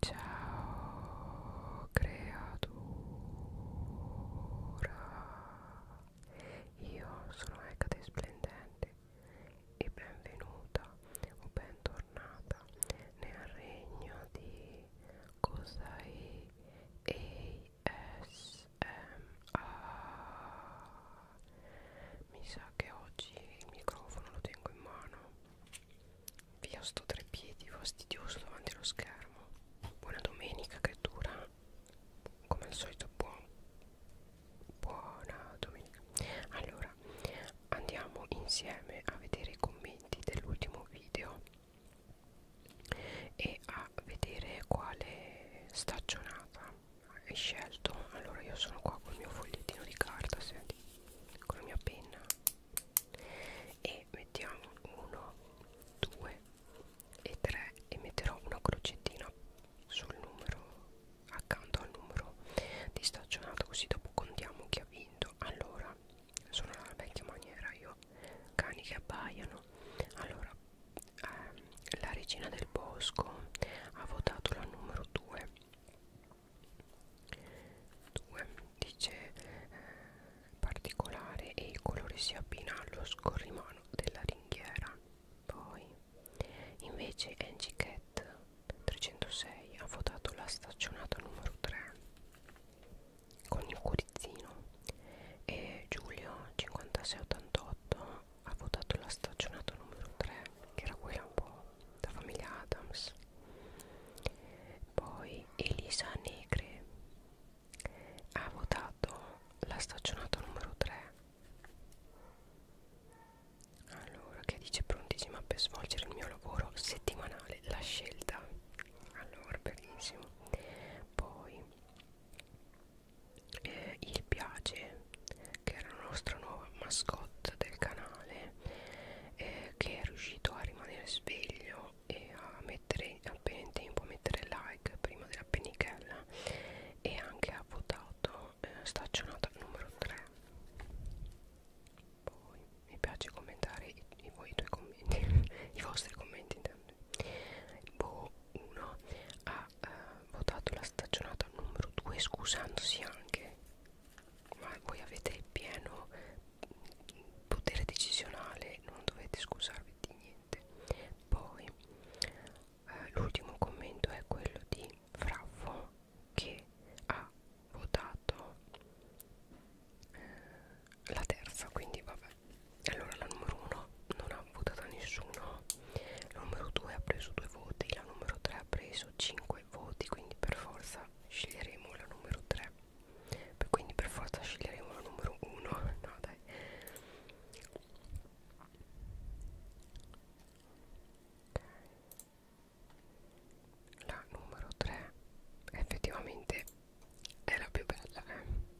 Ciao creatura, io sono Ecate Splendente e benvenuta o bentornata nel regno di Cosai ASMR. Mi sa che oggi il microfono lo tengo in mano Via sto tre piedi fastidioso davanti allo schermo. Buona domenica che dura. Come al solito buon. Buona domenica. Allora, andiamo insieme a vedere i commenti dell'ultimo video e a vedere quale stagionata hai scelto. Allora io sono qua col mio fogliettino di carta, senti, con la mia penna e mettiamo 1 2 e 3 e metterò una crocettina sul numero accanto al numero distaccionato così dopo contiamo chi ha vinto allora sono alla vecchia maniera io cani che abbaiano allora ehm, la regina del bosco ha votato la numero 2 2 dice eh, particolare e il colore si abbina allo scorrimano della ringhiera poi invece Angie Cat 306 ha votato la stagionata numero 3 con il curizzino e Giulio 5688 ha votato la stagionata numero 3 che era quella un po' la famiglia Adams poi Elisa Negre ha votato la stagionata numero 3 allora che dice prontissima per svolgere il mio lavoro settimanale la scelta allora benissimo poi eh, il piace che era la nostra nuova mascotte del canale eh, che è riuscito a rimanere sveglio e a mettere appena in tempo a mettere like prima della pennichella e anche ha votato eh, staccionata numero 3 poi mi piace commentare i, i, voi, i tuoi commenti i vostri commenti intendo Bo 1 ha eh, votato la staccionata numero 2 scusandosi anche ma voi avete il pieno potere decisionale non dovete scusarvi di niente poi eh, l'ultimo commento è quello di Fraffo che ha votato eh, la terza quindi vabbè allora la numero 1 non ha votato nessuno la numero 2 ha preso 2 voti la numero 3 ha preso 5 voti quindi per forza sceglieremo la numero 3 quindi per forza sceglieremo la numero 1 no dai la numero 3 effettivamente è la più bella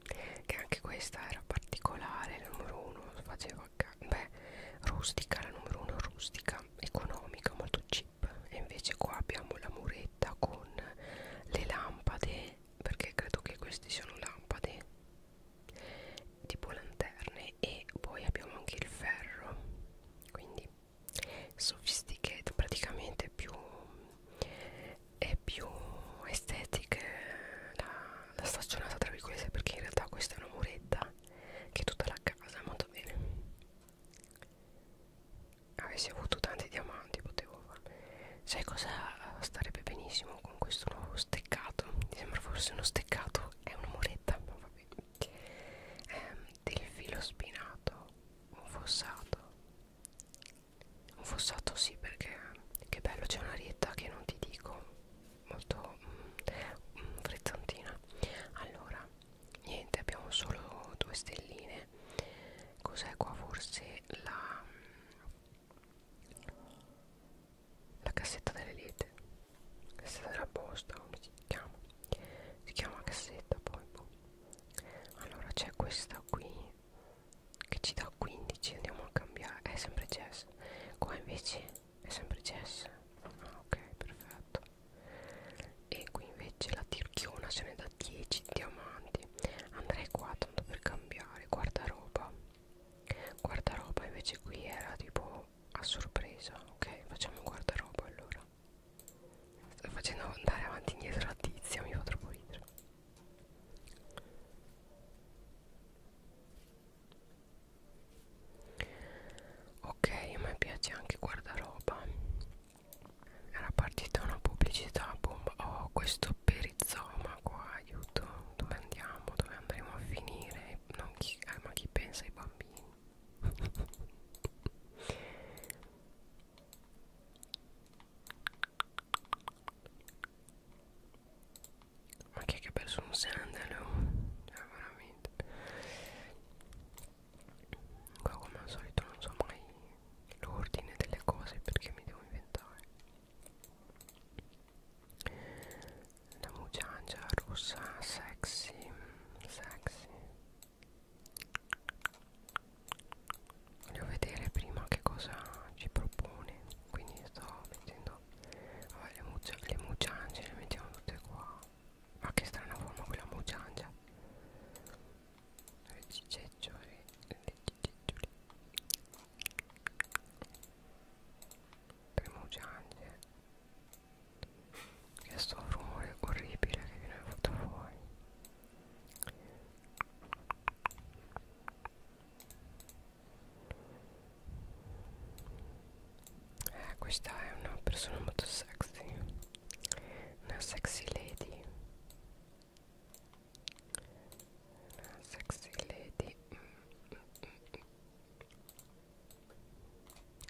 eh? che anche questa era particolare la numero 1 faceva beh rustica la numero 1 rustica economica molto chip e invece qua abbiamo la muretta con le lampade perché credo che queste siano lampade tipo lanterne e poi abbiamo anche il ferro quindi sophisticated praticamente più è più estetica la, la stagionata tra virgolette perché in realtà questa è una muretta che è tutta la casa molto bene avessi avuto tanti diamanti potevo fare sai cosa starebbe benissimo con questo nuovo steccato mi sembra forse uno steccato è una moretta ma va bene ehm, del filo spinato un fossato un fossato sì perché che bello c'è una rietta che non ti dico molto mm, mm, frizzantina allora niente abbiamo solo due stelline cos'è qua forse la la cassetta delle lette cassetta della posta come si chiama si chiama cassetta poi boh. allora c'è questa qui che ci dà 15 andiamo a cambiare è sempre jazz qua invece è sempre Jess ah, ok perfetto e qui invece la tirchiona se ne dà 10 diamanti andrei qua tanto per cambiare guardaroba guardaroba invece qui era tipo a sorpresa ok facciamo guardaroba allora sto facendo andare avanti e indietro la tizia mi fa troppo ridere ok a me piace anche guardaroba era partita una pubblicità bomba oh questo perizoma qua aiuto dove andiamo dove andremo a finire non chi, eh, ma chi pensa ai bambini ma chi è che ha perso un sandalo? Cioè, veramente qua come al solito non so mai l'ordine delle cose perché mi devo inventare la mugiangia rossa sexy sexy voglio vedere prima che cosa ci propone quindi sto mettendo vabbè, le mucciange le mettiamo tutte qua ma che strana forma quella mugiangia le cicecciole le cicecciole tre mugiangie che sto rumore orribile che viene fatto fuori eh, questa è una persona molto sexy una sexy lady una sexy lady mm, mm, mm.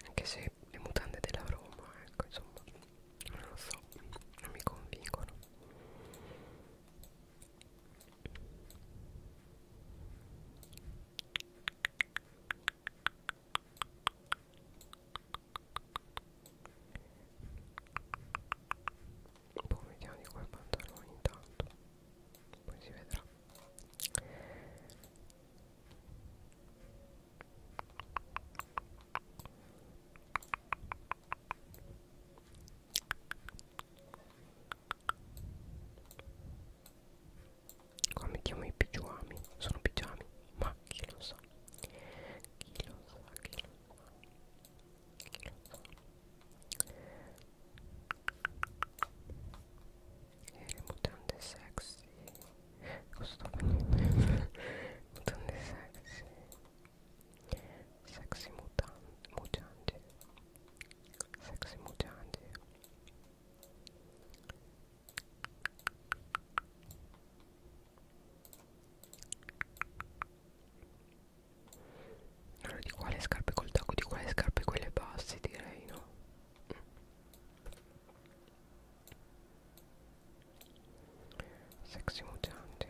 anche se le mutande della Roma ecco insomma non lo so non mi convincono Boh, vediamo di qua i pantaloni intanto Poi si vedrà qua mettiamo i pigiami sono pigiami ma chi lo sa chi lo sa chi lo sa chi lo sa e le mutande sexy cosa sto facendo mutande sexy sexy mutante mutante sexy mutante allora di quale scarpe col tacco? Di quale scarpe quelle basse direi no? Sexy mutante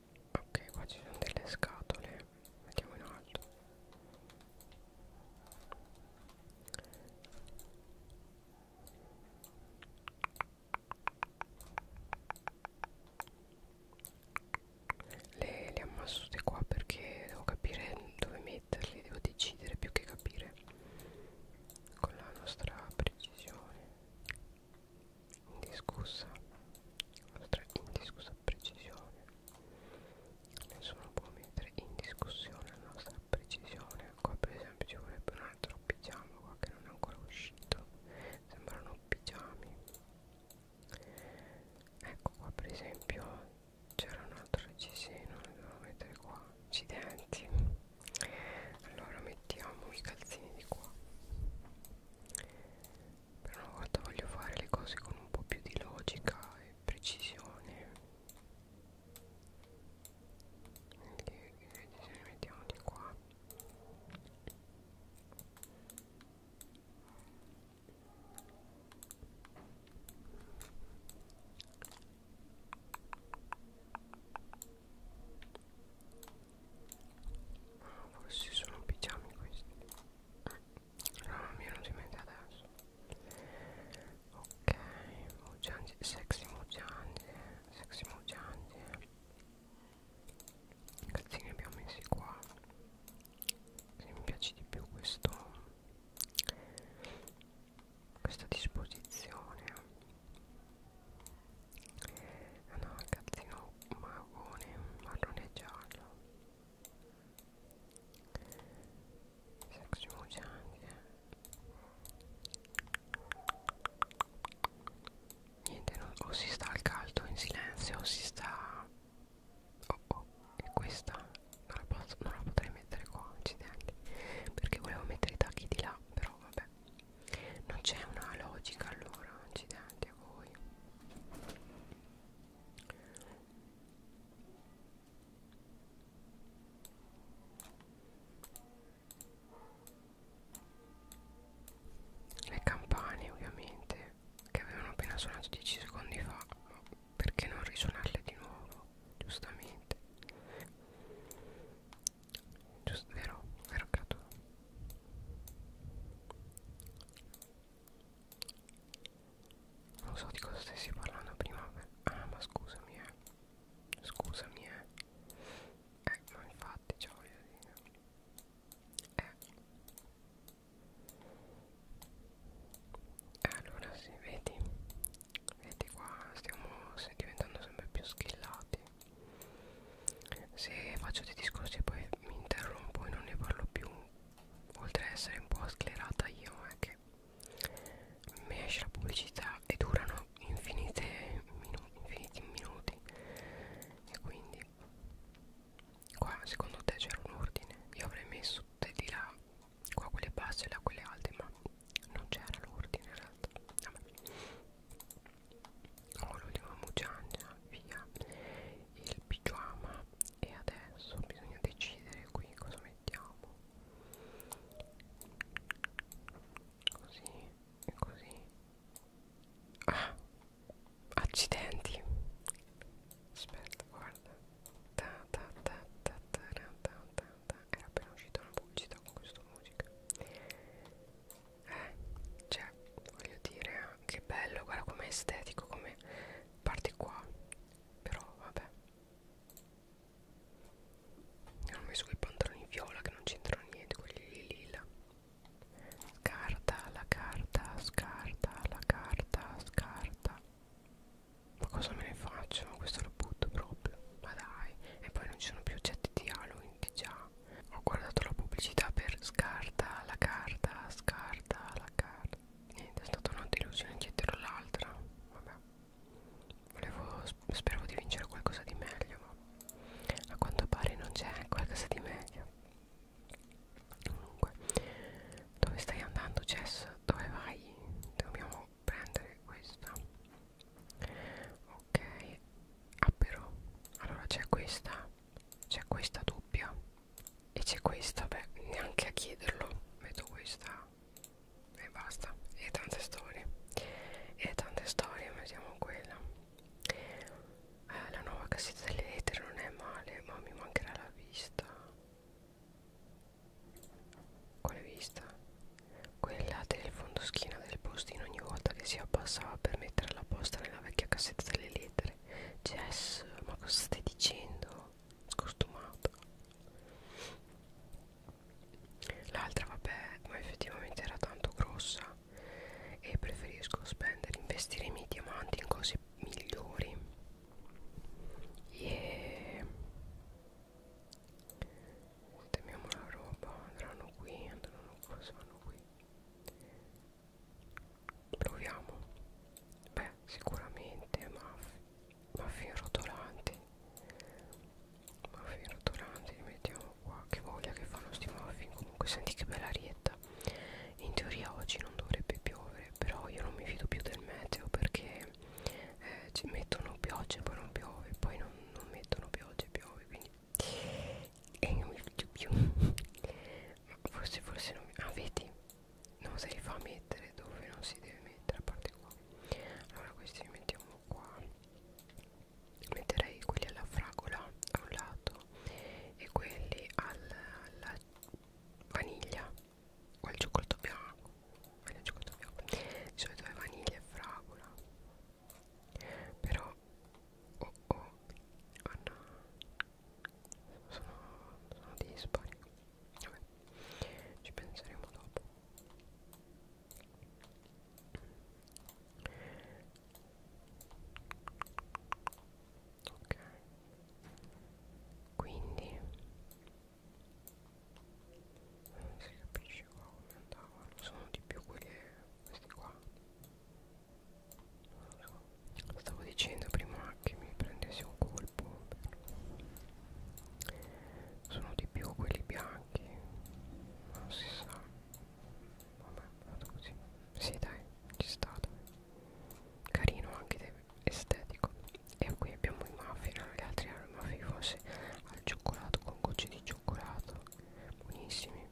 ok qua ci sono delle scatole mettiamo in alto le, le ammasso tutte qua perché devo capire dove metterle devo decidere più che capire con la nostra precisione indiscussa nostra indiscussa precisione nessuno può mettere in discussione la nostra precisione qua per esempio ci vorrebbe un altro pigiama qua che non è ancora uscito sembrano pigiami ecco qua per esempio c'era un altro reggiseno lo devo mettere qua accidenti allora mettiamo i calzini di qua per una volta voglio fare le cose con un po' più di logica e precisione che, che ne mettiamo di qua Ah, forse sono pigiami questi no ah, mi è venuto in mente adesso ok Mugiangi, sexy Mugiangi sexy Mugiangi cazzi ne abbiamo messi qua se mi piace di più questo questa disposizione ah no il cazzino magone marrone e giallo Sex anche Niente, non, o si sta al caldo in silenzio o si sta... Oh, oh, e questa non la, posso, non la potrei mettere qua, incidenti Perché volevo mettere i tacchi di là, però vabbè Non c'è una logica allora, incidenti piacere a voi le campane ovviamente che avevano appena suonato 10 secondi fa ma perché non risuonarle di nuovo giustamente giusto vero vero creato non so di cosa stessi parlando prima Ah ma scusami eh Scusami eh Eh ma infatti ciao voglio dire eh. eh Allora sì vedi Vedi qua stiamo diventando sempre più schillati Se faccio dei discorsi e poi e mi interrompo e non ne parlo più oltre ad essere un po' sclerata io è che mi esce la pubblicità e durano infinite minu infiniti minuti e quindi qua secondo te c'era un ordine io avrei messo tutte di là qua quelle basse e là quelle alte ma non c'era l'ordine in realtà Vabbè ho l'ultima mucciagna via il pigiama e adesso bisogna decidere qui cosa mettiamo così e così ah accidenti aspetta guarda ta ta ta ta ta ta ta ta era appena uscita una pubblicità con questa musica eh, cioè voglio dire che bello guarda com'è estetico come parte qua però vabbè hanno messo quei pantaloni viola che non c'entrano niente quelli lì lila scarta la carta scarta la carta scarta ma cosa me ne faccio questo lo butto proprio ma dai e poi non ci sono più oggetti di Halloween quindi già ho guardato la pubblicità per scarta la carta scarta la carta niente è stata una delusione dietro l'altra vabbè volevo speravo di vincere qualcosa di meglio ma a quanto pare non c'è qualcosa di meglio comunque dove stai andando Jess dove vai dobbiamo prendere questa ok ah però allora c'è questa c'è questa doppia e c'è questa beh neanche a chiederlo metto questa e basta e tante storie e tante storie mettiamo quella eh, la nuova cassetta delle lettere non è male ma mi mancherà la vista quale vista? quella del fondoschina del postino ogni volta che si abbassava per mettere la posta nella vecchia cassetta delle lettere credere Jess ma cosa stai dicendo? Scostumata L'altra vabbè ma effettivamente era tanto grossa E preferisco spendere, investire i miei diamanti in cose migliori Yeah Temiamo la roba, andranno qui, andranno qua, sono qui proviamo beh sicuramente muffin, muffin rotolanti muffin rotolanti li mettiamo qua che voglia che fanno sti muffin comunque senti che bella rietta in teoria oggi non dovrebbe piovere però io non mi fido più del meteo perché eh, ci mettono piogge e poi non piove poi non, non mettono piogge e piove quindi e non mi fido più forse forse non mi ah vedi non se li fa mettere dove non si deve mettere a parte qua allora questi li mettiamo qua metterei quelli alla fragola a un lato e quelli alla, alla vaniglia o al cioccolato bianco, al cioccolato bianco. di solito è vaniglia e fragola però oh oh oh no sono, sono dispari vabbè ci penseremo dopo ok quindi non si capisce qua come andavano sono di più quelle questi qua Stavo dicendo prima che mi prendessi un colpo Sono di più quelli bianchi Non si sa Vabbè vado così Sì dai ci sta dai. Carino anche estetico E qui abbiamo i muffin Gli altri erano eh, i muffin forse al cioccolato con gocce di cioccolato Buonissimi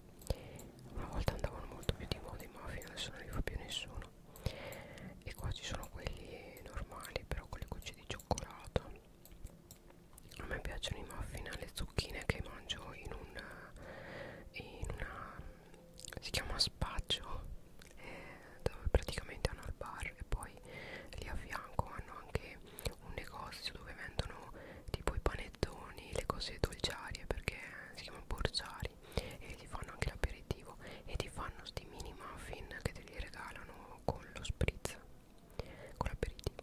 una volta andavano molto più di moda i muffin adesso non li fa più nessuno e qua ci sono quelli normali però con le gocce di cioccolato a me piacciono i muffin alle zucchine che mangio in un in una si chiama spaccio eh, dove praticamente hanno il bar e poi lì a fianco hanno anche un negozio dove vendono tipo i panettoni, le cose dolciarie perché si chiamano borsari e ti fanno anche l'aperitivo e ti fanno sti mini muffin che te li regalano con lo spritz con l'aperitivo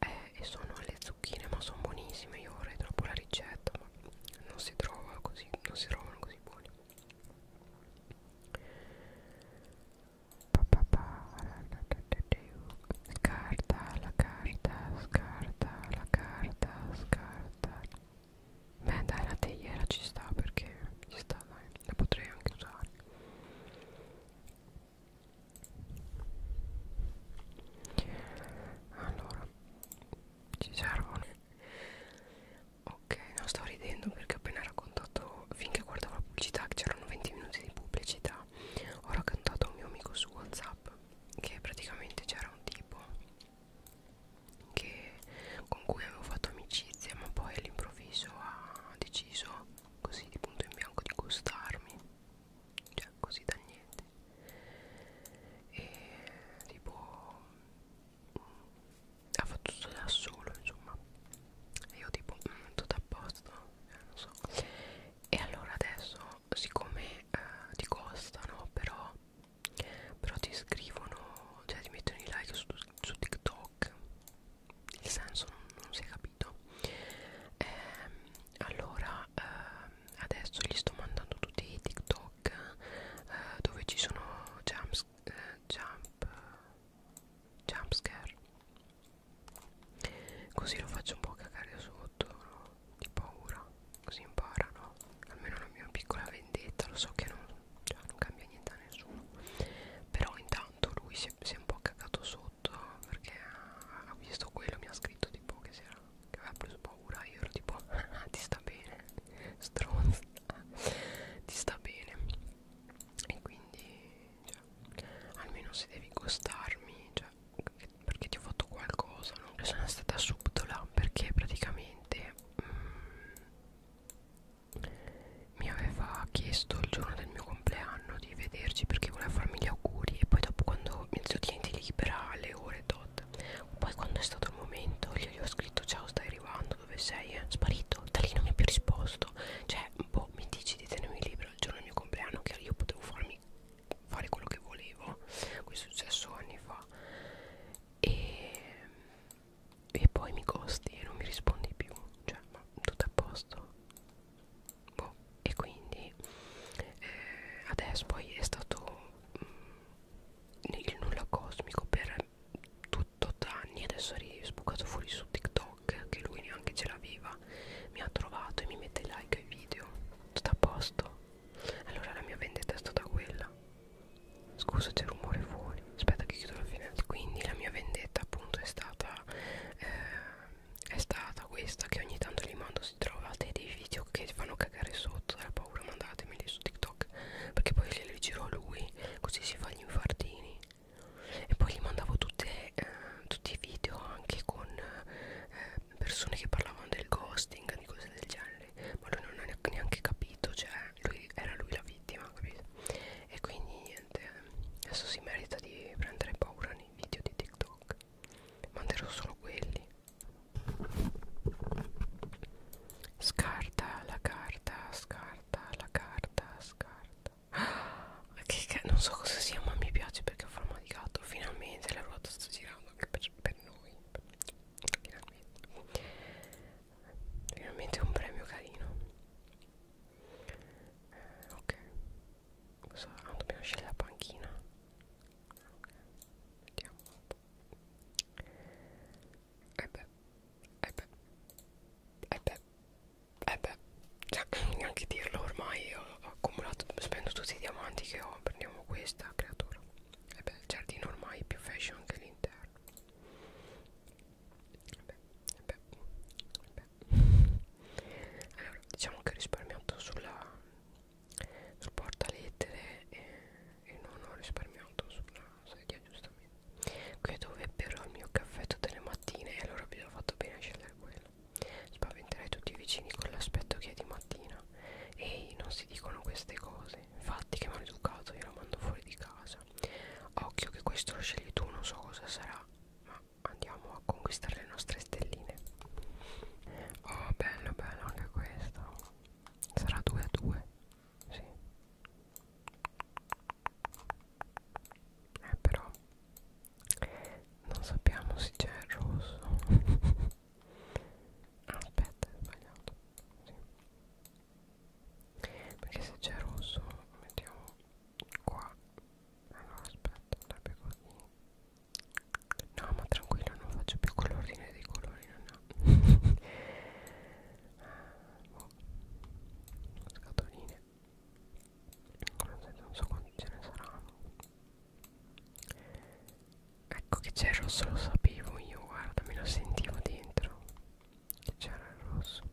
eh, e sono le zucchine ma sono buonissime io vorrei troppo la ricetta ma non si trova così non si trovano così buoni Scarta la carta, scarta la carta, scarta. Beh dai la teiera ci sta perché ci sta dai, la potrei anche usare. Allora, ci servono. Ok, non sto ridendo perché ho appena raccontato, finché guardavo la pubblicità, che c'erano 20 minuti di pubblicità, ho raccontato a un mio amico su WhatsApp che praticamente c'era un tipo che, con cui avevo fatto amicizia ma poi all'improvviso ha deciso così di punto in bianco di gustarmi cioè così da niente e tipo ha fatto tutto da solo insomma e io tipo mm, tutto a posto eh, non so e allora adesso siccome eh, ti costano però però ti scrivono cioè ti mettono i like su, su TikTok il senso non, non si è capito eh, allora eh, adesso gli sto mandando tutti i TikTok eh, dove ci sono jump, eh, jump, jump scare Così lo faccio un po' cagare sotto no? Di paura Così imparano Almeno la mia piccola vendetta Lo so che non, cioè, non cambia niente a nessuno Però intanto lui si è, si è un po' cagato sotto Perché ha visto quello Mi ha scritto tipo che, si era, che aveva preso paura Io ero tipo ah, Ti sta bene Stronza Ti sta bene E quindi cioè, Almeno se devi costarmi Cioè perché ti ho fatto qualcosa non sono stata subdola perché praticamente mm, mi aveva chiesto il giorno del mio compleanno di vederci perché voleva farmi gli auguri e poi dopo quando mi zio tienti libera alle ore tot poi quando è stato il momento gli ho scritto ciao stai arrivando dove sei eh? sparito da lì non mi ha più risposto cioè boh mi dici di tenermi libero il giorno del mio compleanno che io potevo farmi lasciarmi fare quello che volevo questo è successo anni fa e, e poi mi costi e non mi rispondi più cioè ma tutto a posto boh, e quindi eh, adesso poi è stato mh, mm, il nulla cosmico per tutto anni adesso è sbucato fuori su TikTok che lui neanche ce l'aveva brava mi ha trovato e mi mette like ai video tutto a posto allora la mia vendetta è stata quella scusa c'è rumore fuori aspetta che chiudo la finestra quindi la mia vendetta appunto è stata eh, è stata questa che ogni tanto li mando se trovate dei video che fanno cagare sotto dalla paura mandatemeli su tiktok perché poi li giro a lui così si fa gli infartini e poi gli mandavo tutte, eh, tutti i video anche con eh, persone che parlavano del ghosting, di cose del genere, ma lui non ha neanche capito, cioè lui, era lui la vittima, capito? E quindi niente, adesso si merita di prendere paura nei video di TikTok, manderò solo quelli. Scarta la carta, scarta la carta, scarta. Ah, che, che non so cosa sia ma mi piace perché ho forma di gatto finalmente la ruota sta girando anche per, per noi finalmente finalmente un premio carino eh, ok cosa ah, dobbiamo scegliere la panchina ok vediamo un eh po' e beh e eh beh e eh beh e beh cioè, neanche dirlo ormai ho, ho accumulato spendo tutti i diamanti che ho prendiamo questa creatura e eh beh il giardino ormai è più fashion che l'interno eh beh, eh beh, beh. allora diciamo che ho risparmiato sulla sul portalettere e, e non ho risparmiato sulla sedia giustamente qui è dove però il mio caffè tutte le mattine e allora ho fatto bene a scegliere quello fratello Spaventerai tutti i vicini con l'aspetto che è di mattina Ehi, non si dicono queste cose Infatti che maleducato io lo mando fuori di casa Occhio che questo lo scegli tu, non so cosa sarà Ma andiamo a conquistare le nostre stelline Oh, bello, bello anche questo Sarà 2 a 2 Sì eh però non sappiamo se c'è il rosso ah, aspetta è sbagliato sì. perché se c'è rosso mettiamo qua allora ah, aspetta andrebbe così no ma tranquillo non faccio più colorine dei colori no no ah, boh. scatoline non so quanti ce ne saranno ecco che c'è il rosso lo sapevo io guarda me lo sentivo dentro che c'era il rosso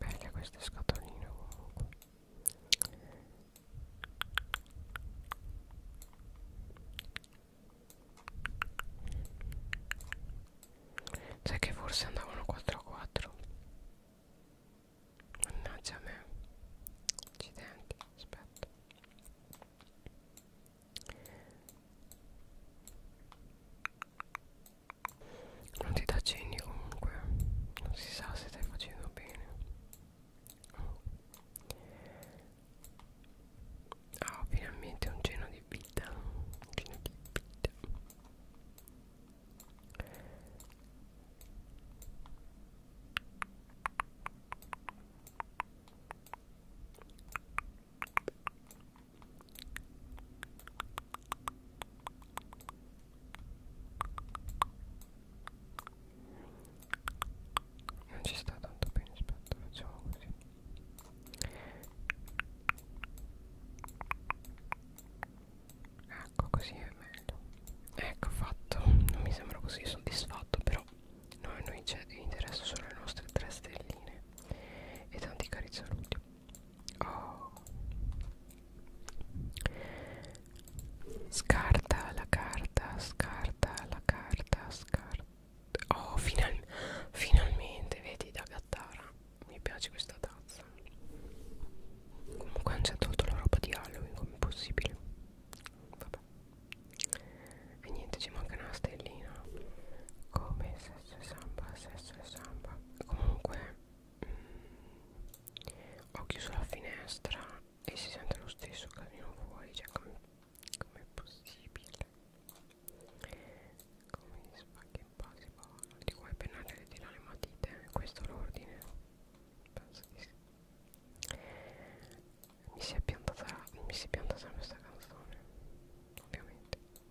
belle queste scatoline comunque sai che forse andavano 4 a 4 mannaggia a me accidenti aspetta non ti dà cenni comunque non si sa se stai facendo bene ah oh, finalmente un cenno di vita un cenno di vita non ci sta tanto bene aspetta facciamo così ecco così è meglio ecco fatto non mi sembra così soddisfatto però no, a noi ci interessa solo le nostre tre stelline e tanti cari saluti Oh. Scarta la carta, scarta la carta, scarta. Oh, final finalmente, vedi da Gattara. Mi piace questa tazza. Comunque, hanno già tolto la roba di Halloween, come possibile. Vabbè. E niente, ci manca una stellina. Come se sesso e samba sesso e samba comunque mh, mm, ho chiuso la finestra e si sente lo stesso casino fuori cioè come com è possibile come spacchi in base di qua è pennarello di là le matite questo è l'ordine penso di sì mi si è piantata mi si è piantata questa canzone ovviamente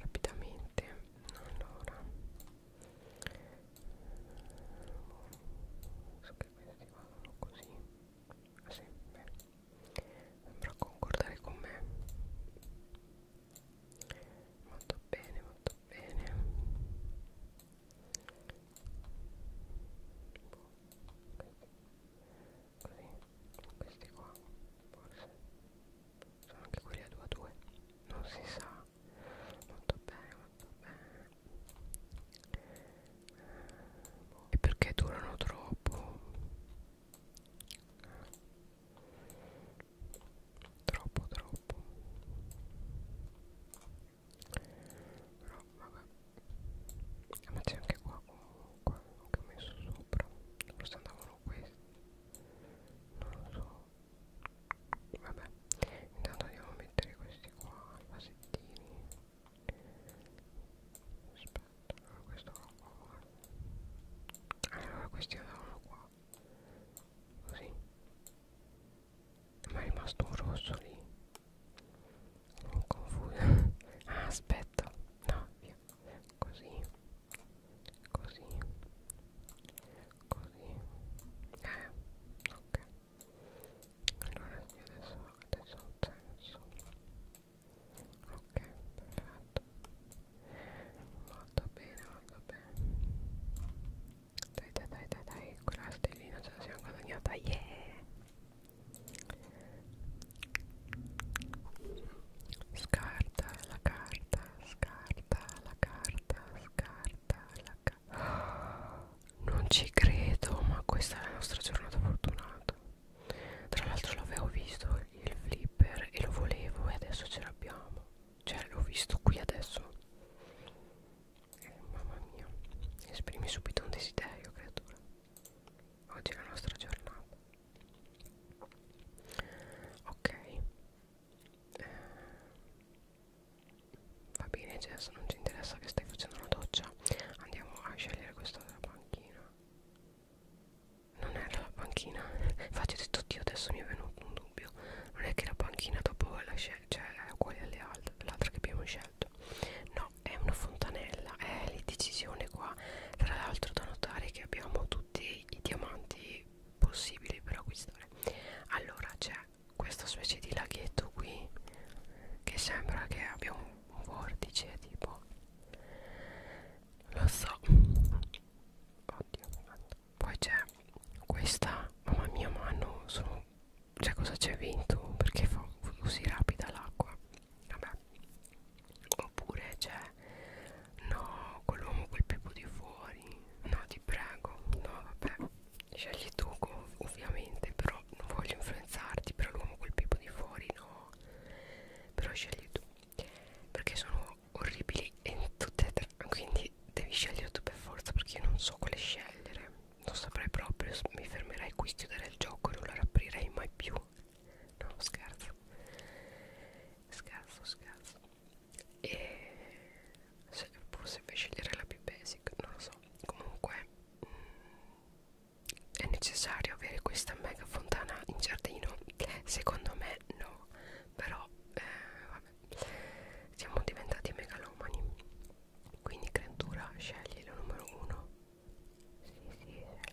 rapidamente allora so che questi vanno così ah sì, beh sembra concordare con me molto bene molto bene boh, questi. così questi qua forse sono anche quelli a 2 a 2 non si sa molto bene molto bene e perché durano troppo troppo troppo però vabbè eh, ma c'è anche qua comunque che ho messo sopra forse andavano questi non lo so vabbè intanto andiamo a mettere questi qua vasettini aspetta allora ah, questo qua allora ah, questi andavano qua così ma è rimasto un rosso lì non confuso ah aspetta no via così così così eh ok allora io adesso adesso ho un senso ok perfetto molto bene molto bene dai dai dai dai, dai. quella stellina ce la siamo guadagnata yeah Scarta la carta, scarta carta, la carta, la carta, la carta. Non ci credo, ma questa è la nostra giornata fortunata. Tra l'altro l'avevo visto il flipper e lo volevo e adesso ce l'abbiamo. Cioè l'ho visto qui adesso. Eh, mamma mia. Esprimi subito un desiderio, creatura. Oggi è la nostra giornata ok eh, va bene Jess non ci interessa che stai facendo la doccia andiamo a scegliere questa della panchina non era la panchina faccio detto oddio adesso mi è venuto un dubbio non è che la panchina dopo la cioè è uguale alle altre l'altra che abbiamo scelto no è una fontanella è l'indecisione qua tra l'altro da notare che abbiamo tutti i diamanti possibili per acquistare allora c'è questa specie di laghetto qui che sembra che abbia un, un vortice tipo lo so oddio poi c'è questa mamma mia ma non sono cioè cosa c'è vinto perché fa così rapida l'acqua vabbè oppure c'è cioè, no quell'uomo quel pipo di fuori no ti prego no vabbè scegli tu ovviamente però non voglio influenzarti però l'uomo quel pipo di fuori no però scegli tu perché sono orribili e tutte e tre quindi devi scegliere tu per forza perché io non so quale scegliere non saprei proprio mi fermerei qui chiuderei il gioco e non la riaprirei mai più no scherzo scherzo scherzo e se, forse per scegliere la più basic non lo so comunque mh, mm, è necessario avere questa mega fontana in giardino secondo me no però eh, vabbè. siamo diventati megalomani quindi creatura scegli la numero uno sì sì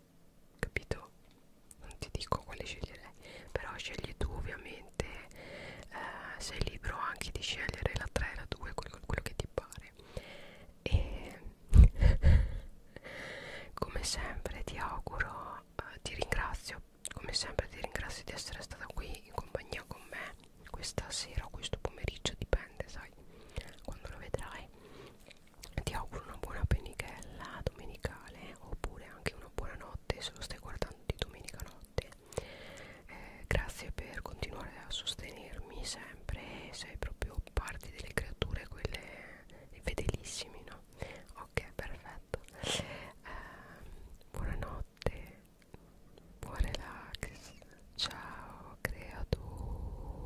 capito? Non ti dico quale sceglierei, però scegli tu ovviamente, eh, sei libero anche di scegliere la 3, la 2, quello, quello che ti pare. E come sempre ti auguro, eh, ti ringrazio, come sempre ti ringrazio di essere stata qui in compagnia con me questa sera o questo pomeriggio, dipende, sai, quando lo vedrai ti auguro una buona penichella domenicale oppure anche una buona notte se lo stai guardando di domenica notte eh, grazie per continuare a sostenermi sempre sei proprio parte delle creature quelle fedelissimi no? ok perfetto eh, buonanotte buon relax ciao creatura